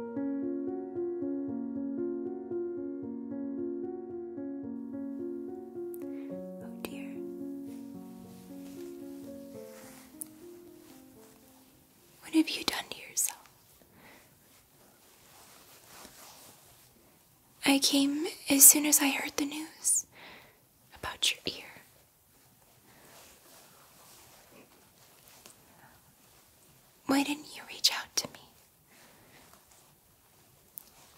Oh dear. What have you done to yourself? I came as soon as I heard the news about your ear. Why didn't you reach out to me?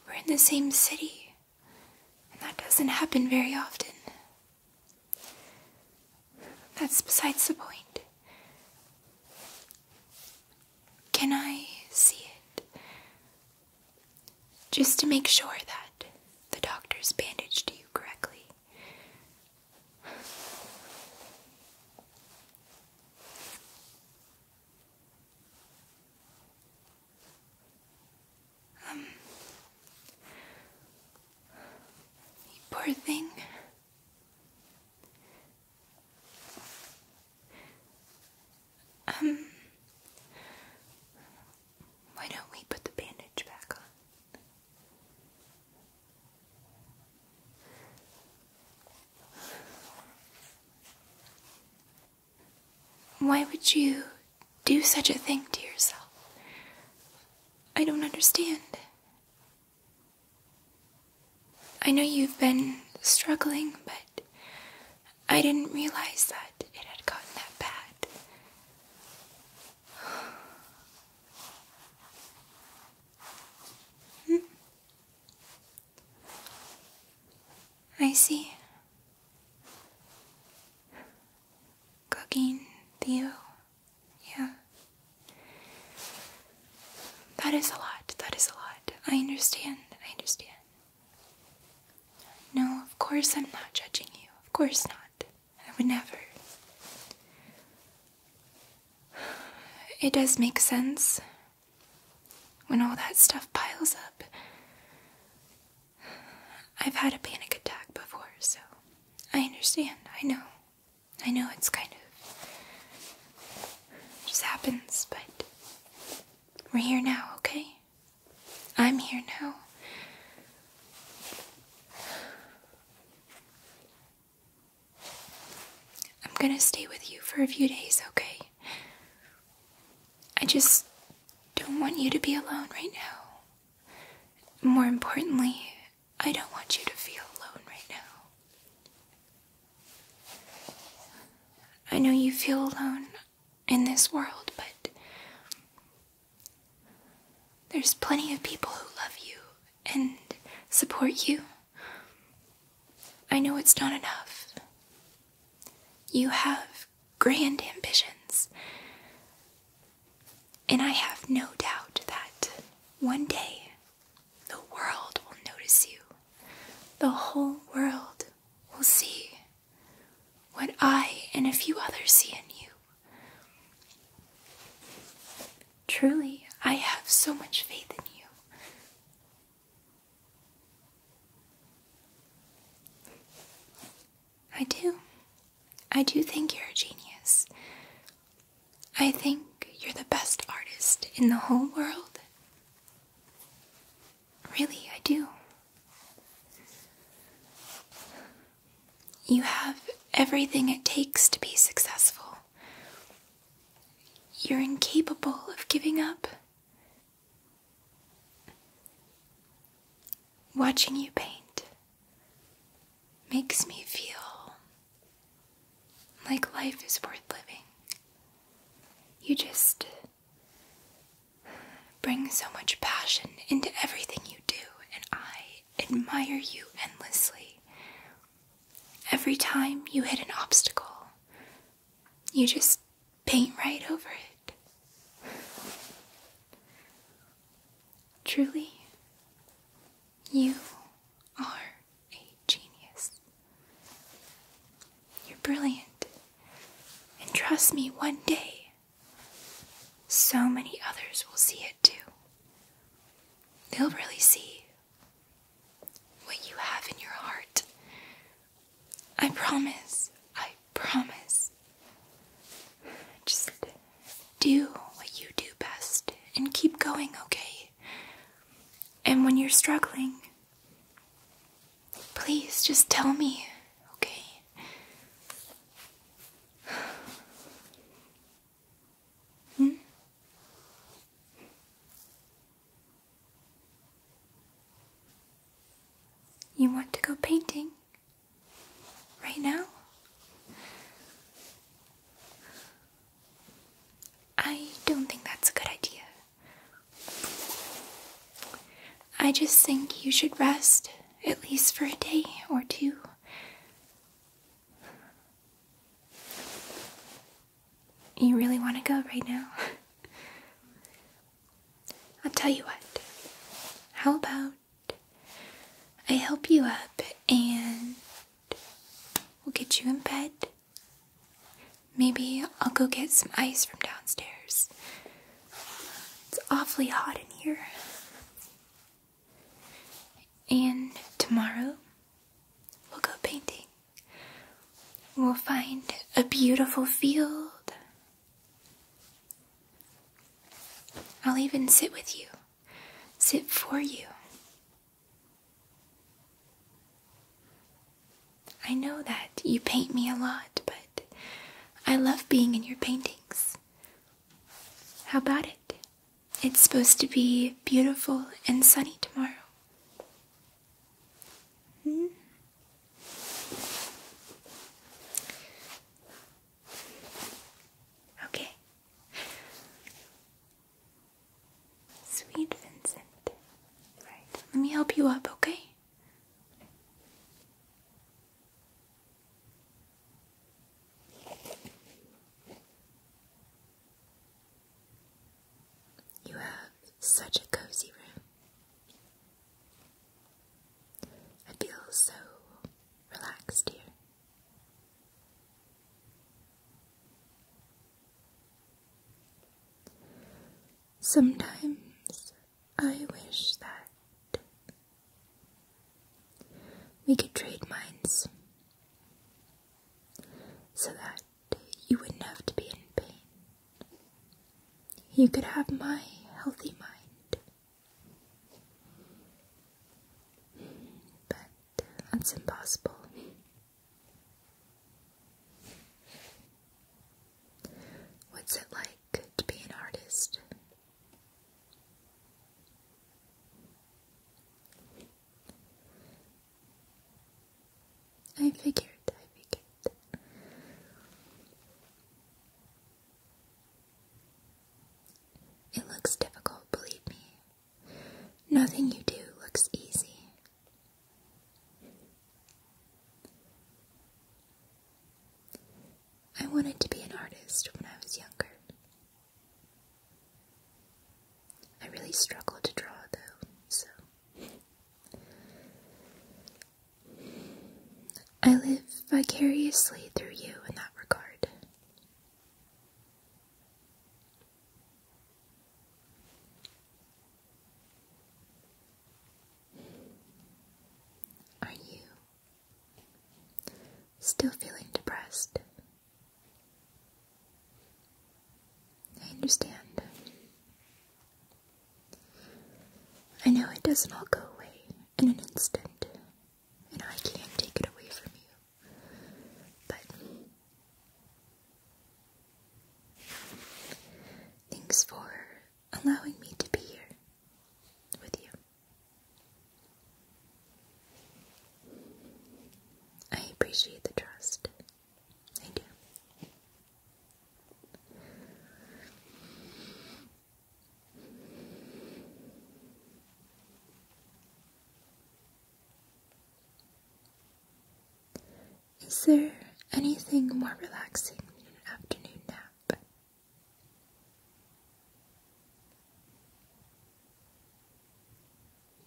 We're in the same city, and that doesn't happen very often. That's besides the point. Can I see it? Just to make sure that the doctors bandaged you correctly. Um, poor thing. Um, why don't we put the bandage back on? Why would you do such a thing to yourself? I don't understand. I know you've been struggling, but I didn't realize that it had gotten that bad. Hmm. I see. Cooking, Theo. Yeah. That is a lot. That is a lot. I understand. I understand. No, of course I'm not judging you. Of course not not. I would never. It does make sense when all that stuff piles up. I've had a panic attack before, so I understand. I know. I know it's kind of. just happens, but we're here now, okay? I'm here now. I'm gonna stay with you for a few days, okay? I just don't want you to be alone right now. More importantly, I don't want you to feel alone right now. I know you feel alone in this world, but there's plenty of people who love you and support you. I know it's not enough. You have grand ambitions. And I have no doubt that one day the world will notice you. The whole world will see what I and a few others see in you. Truly, I have so much faith in you. I do. I do think you're a genius. I think you're the best artist in the whole world. Really, I do. You have everything it takes to be successful. You're incapable of giving up. Watching you paint makes me feel like life is worth living. You just bring so much passion into everything you do, and I admire you endlessly. Every time you hit an obstacle, you just paint right over it. Truly, you are a genius. You're brilliant. And trust me, one day so many others will see it too. They'll really see what you have in your heart. I promise, I promise. Just do what you do best and keep going, okay? And when you're struggling, please just tell me, okay? hmm? You want to go painting? Right now? I don't think that's a good idea. I just think you should rest, at least for a day or two. You really want to go right now? I'll tell you what. How about I help you up and we'll get you in bed? Maybe I'll go get some ice from downstairs. It's awfully hot in here. And tomorrow we'll go painting. We'll find a beautiful field. I'll even sit with you, sit for you. I know that you paint me a lot, but I love being in your painting. How about it? It's supposed to be beautiful and sunny tomorrow. Hmm? Okay. Sweet Vincent. Right. Let me help you up, okay? You have such a cozy room. I feel so relaxed here. Sometimes I wish that we could trade minds so that you wouldn't have to be in pain. You could have my healthy mind. But that's impossible. What's it like? Good to be an artist. I figured, I figured. It looks difficult, believe me. Nothing you do looks easy. I wanted to be an artist when I was younger. I really struggled to draw though, so. I live vicariously through you in that regard. Are you still feeling depressed? I understand. I know it doesn't all go away in an instant, and I can't take it away from you. But thanks for allowing me to be here with you. I appreciate the trust. I do. Is there anything more relaxing than an afternoon nap?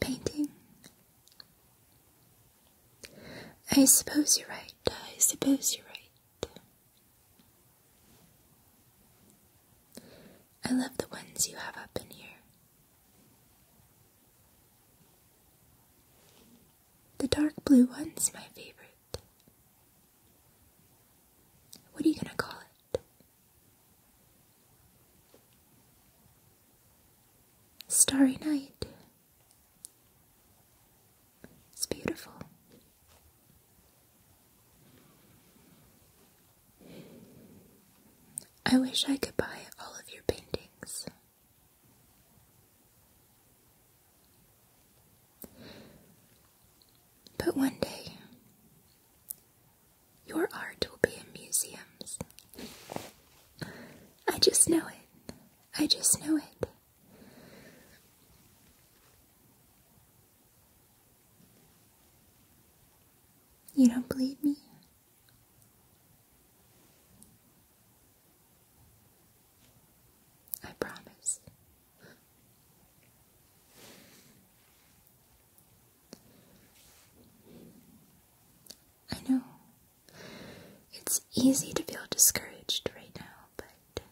Painting? I suppose you're right. I suppose you're right. I love the ones you have up in here. The dark blue one's my favorite. What are you going to call it? Starry night. It's beautiful. I wish I could buy all of your paintings. But one day, your art will be in museums. I just know it. I just know it. You don't believe me? I promise. I know. It's easy to feel discouraged right now, but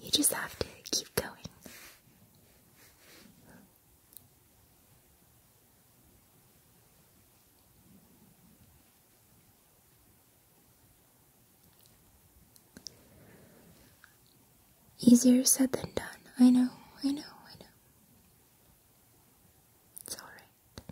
you just have to keep going. Easier said than done. I know, I know, I know. It's alright.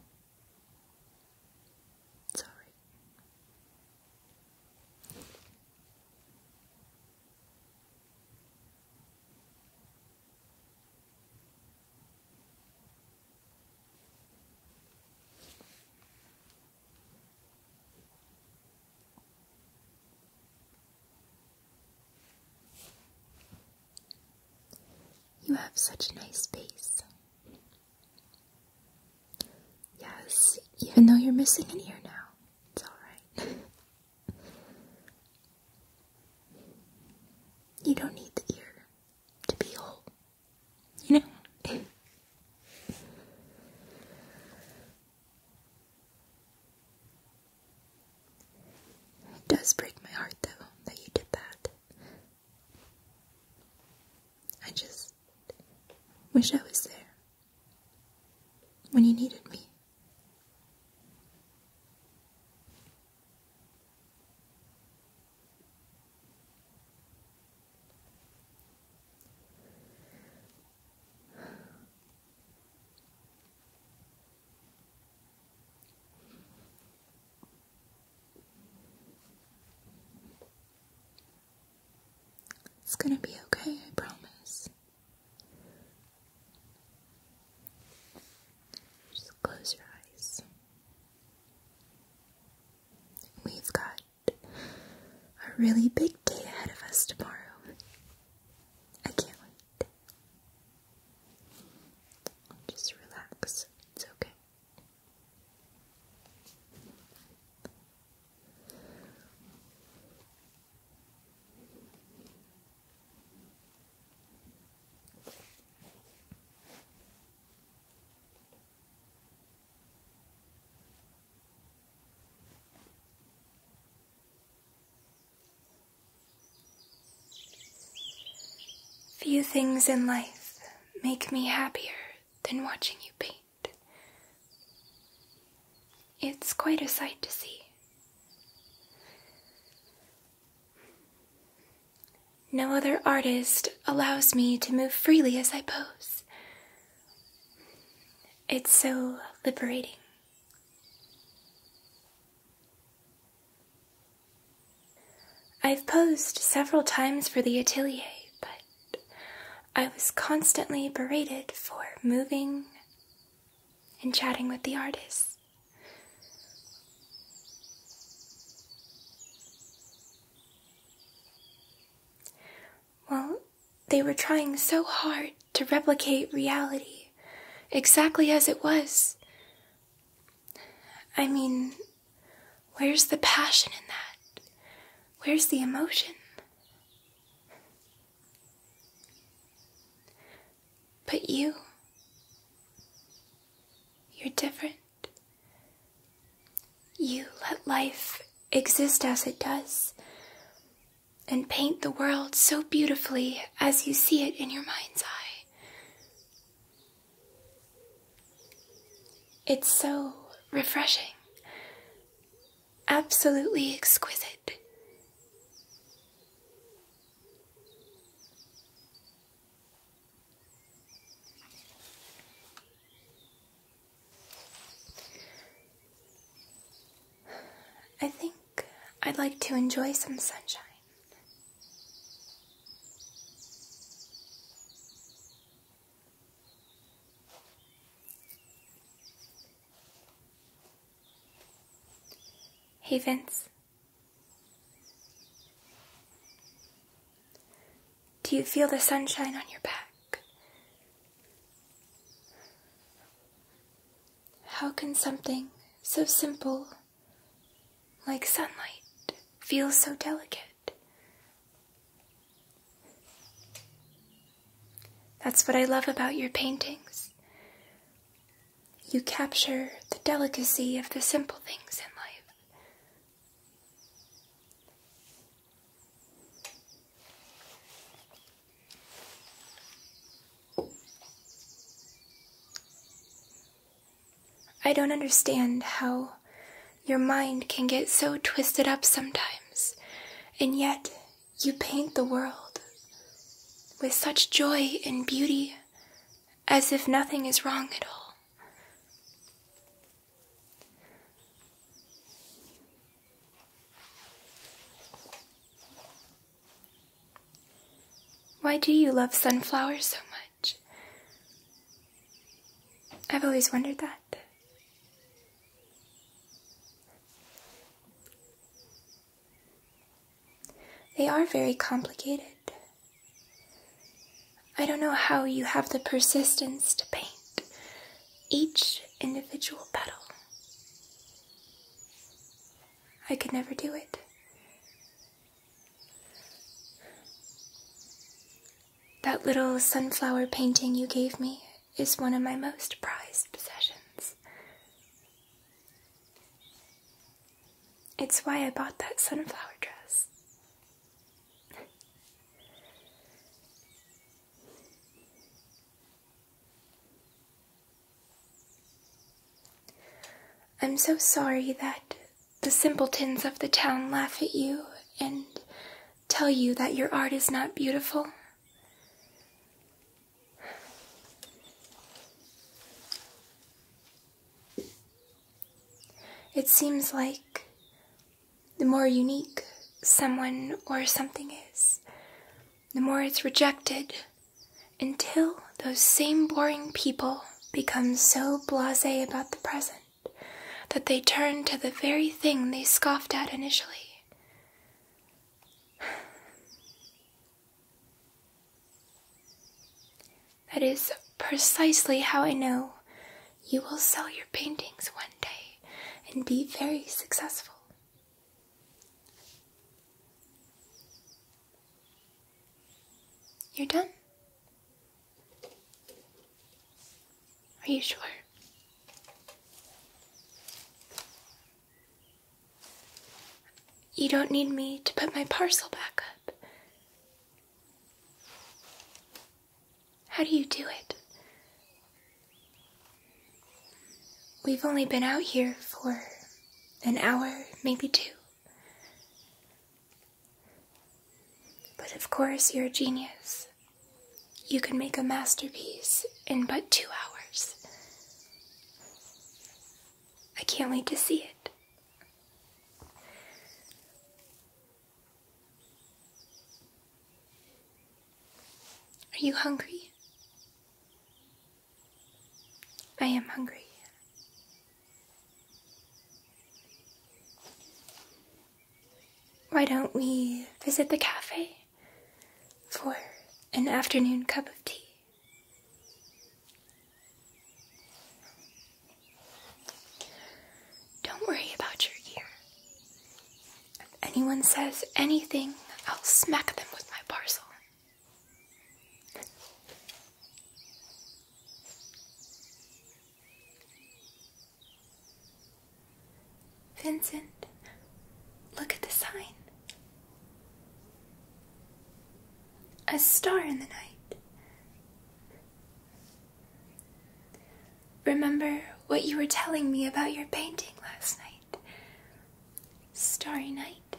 You have such a nice face. Yes, even though you're missing an ear now, it's alright. You don't need the ear to be whole. You know? It does break my heart though that you did that. I just wish I was there when you needed me. It's gonna be okay, I promise. Just close your eyes. We've got a really big day ahead of us tomorrow. I can't wait. Just relax. It's okay. Few things in life make me happier than watching you paint. It's quite a sight to see, no other artist allows me to move freely as I pose. It's so liberating. I've posed several times for the atelier, but I was constantly berated for moving and chatting with the artists. Well, they were trying so hard to replicate reality exactly as it was. I mean, where's the passion in that? Where's the emotion? But you, you're different. You let life exist as it does and paint the world so beautifully as you see it in your mind's eye. It's so refreshing, absolutely exquisite. I think I'd like to enjoy some sunshine. Hey Vince. Do you feel the sunshine on your back? How can something so simple like sunlight feel so delicate? That's what I love about your paintings. You capture the delicacy of the simple things in life. I don't understand how your mind can get so twisted up sometimes, and yet you paint the world with such joy and beauty as if nothing is wrong at all. Why do you love sunflowers so much? I've always wondered that. They are very complicated. I don't know how you have the persistence to paint each individual petal. I could never do it. That little sunflower painting you gave me is one of my most prized possessions. It's why I bought that sunflower dress. I'm so sorry that the simpletons of the town laugh at you and tell you that your art is not beautiful. It seems like the more unique someone or something is, the more it's rejected until those same boring people become so blasé about the present that they turn to the very thing they scoffed at initially. That is precisely how I know you will sell your paintings one day and be very successful. You're done. Are you sure? You don't need me to put my parcel back up. How do you do it? We've only been out here for an hour, maybe two. But of course, you're a genius. You can make a masterpiece in but two hours. I can't wait to see it. Are you hungry? I am hungry. Why don't we visit the cafe for an afternoon cup of tea? Don't worry about your ear. If anyone says anything, I'll smack them with my parcel. Vincent, look at the sign. A star in the night. Remember what you were telling me about your painting last night? Starry night.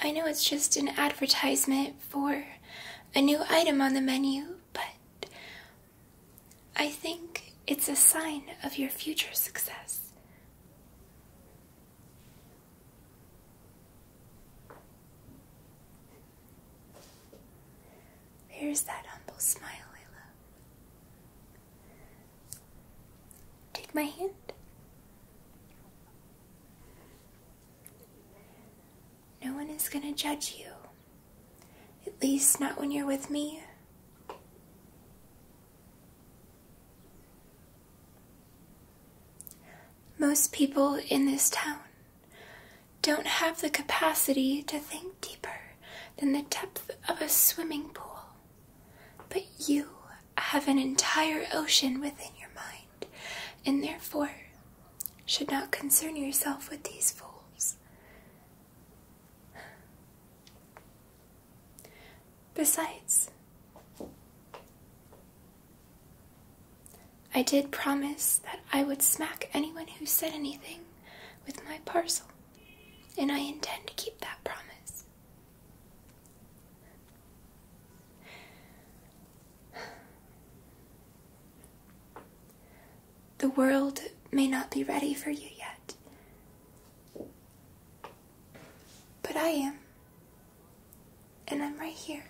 I know it's just an advertisement for a new item on the menu, but I think it's a sign of your future success. There's that humble smile I Take my hand. No one is going to judge you. At least, not when you're with me. Most people in this town don't have the capacity to think deeper than the depth of a swimming pool, but you have an entire ocean within your mind and therefore should not concern yourself with these fools. Besides, I did promise that I would smack anyone who said anything with my parcel, and I intend to keep that promise. The world may not be ready for you yet, but I am, and I'm right here.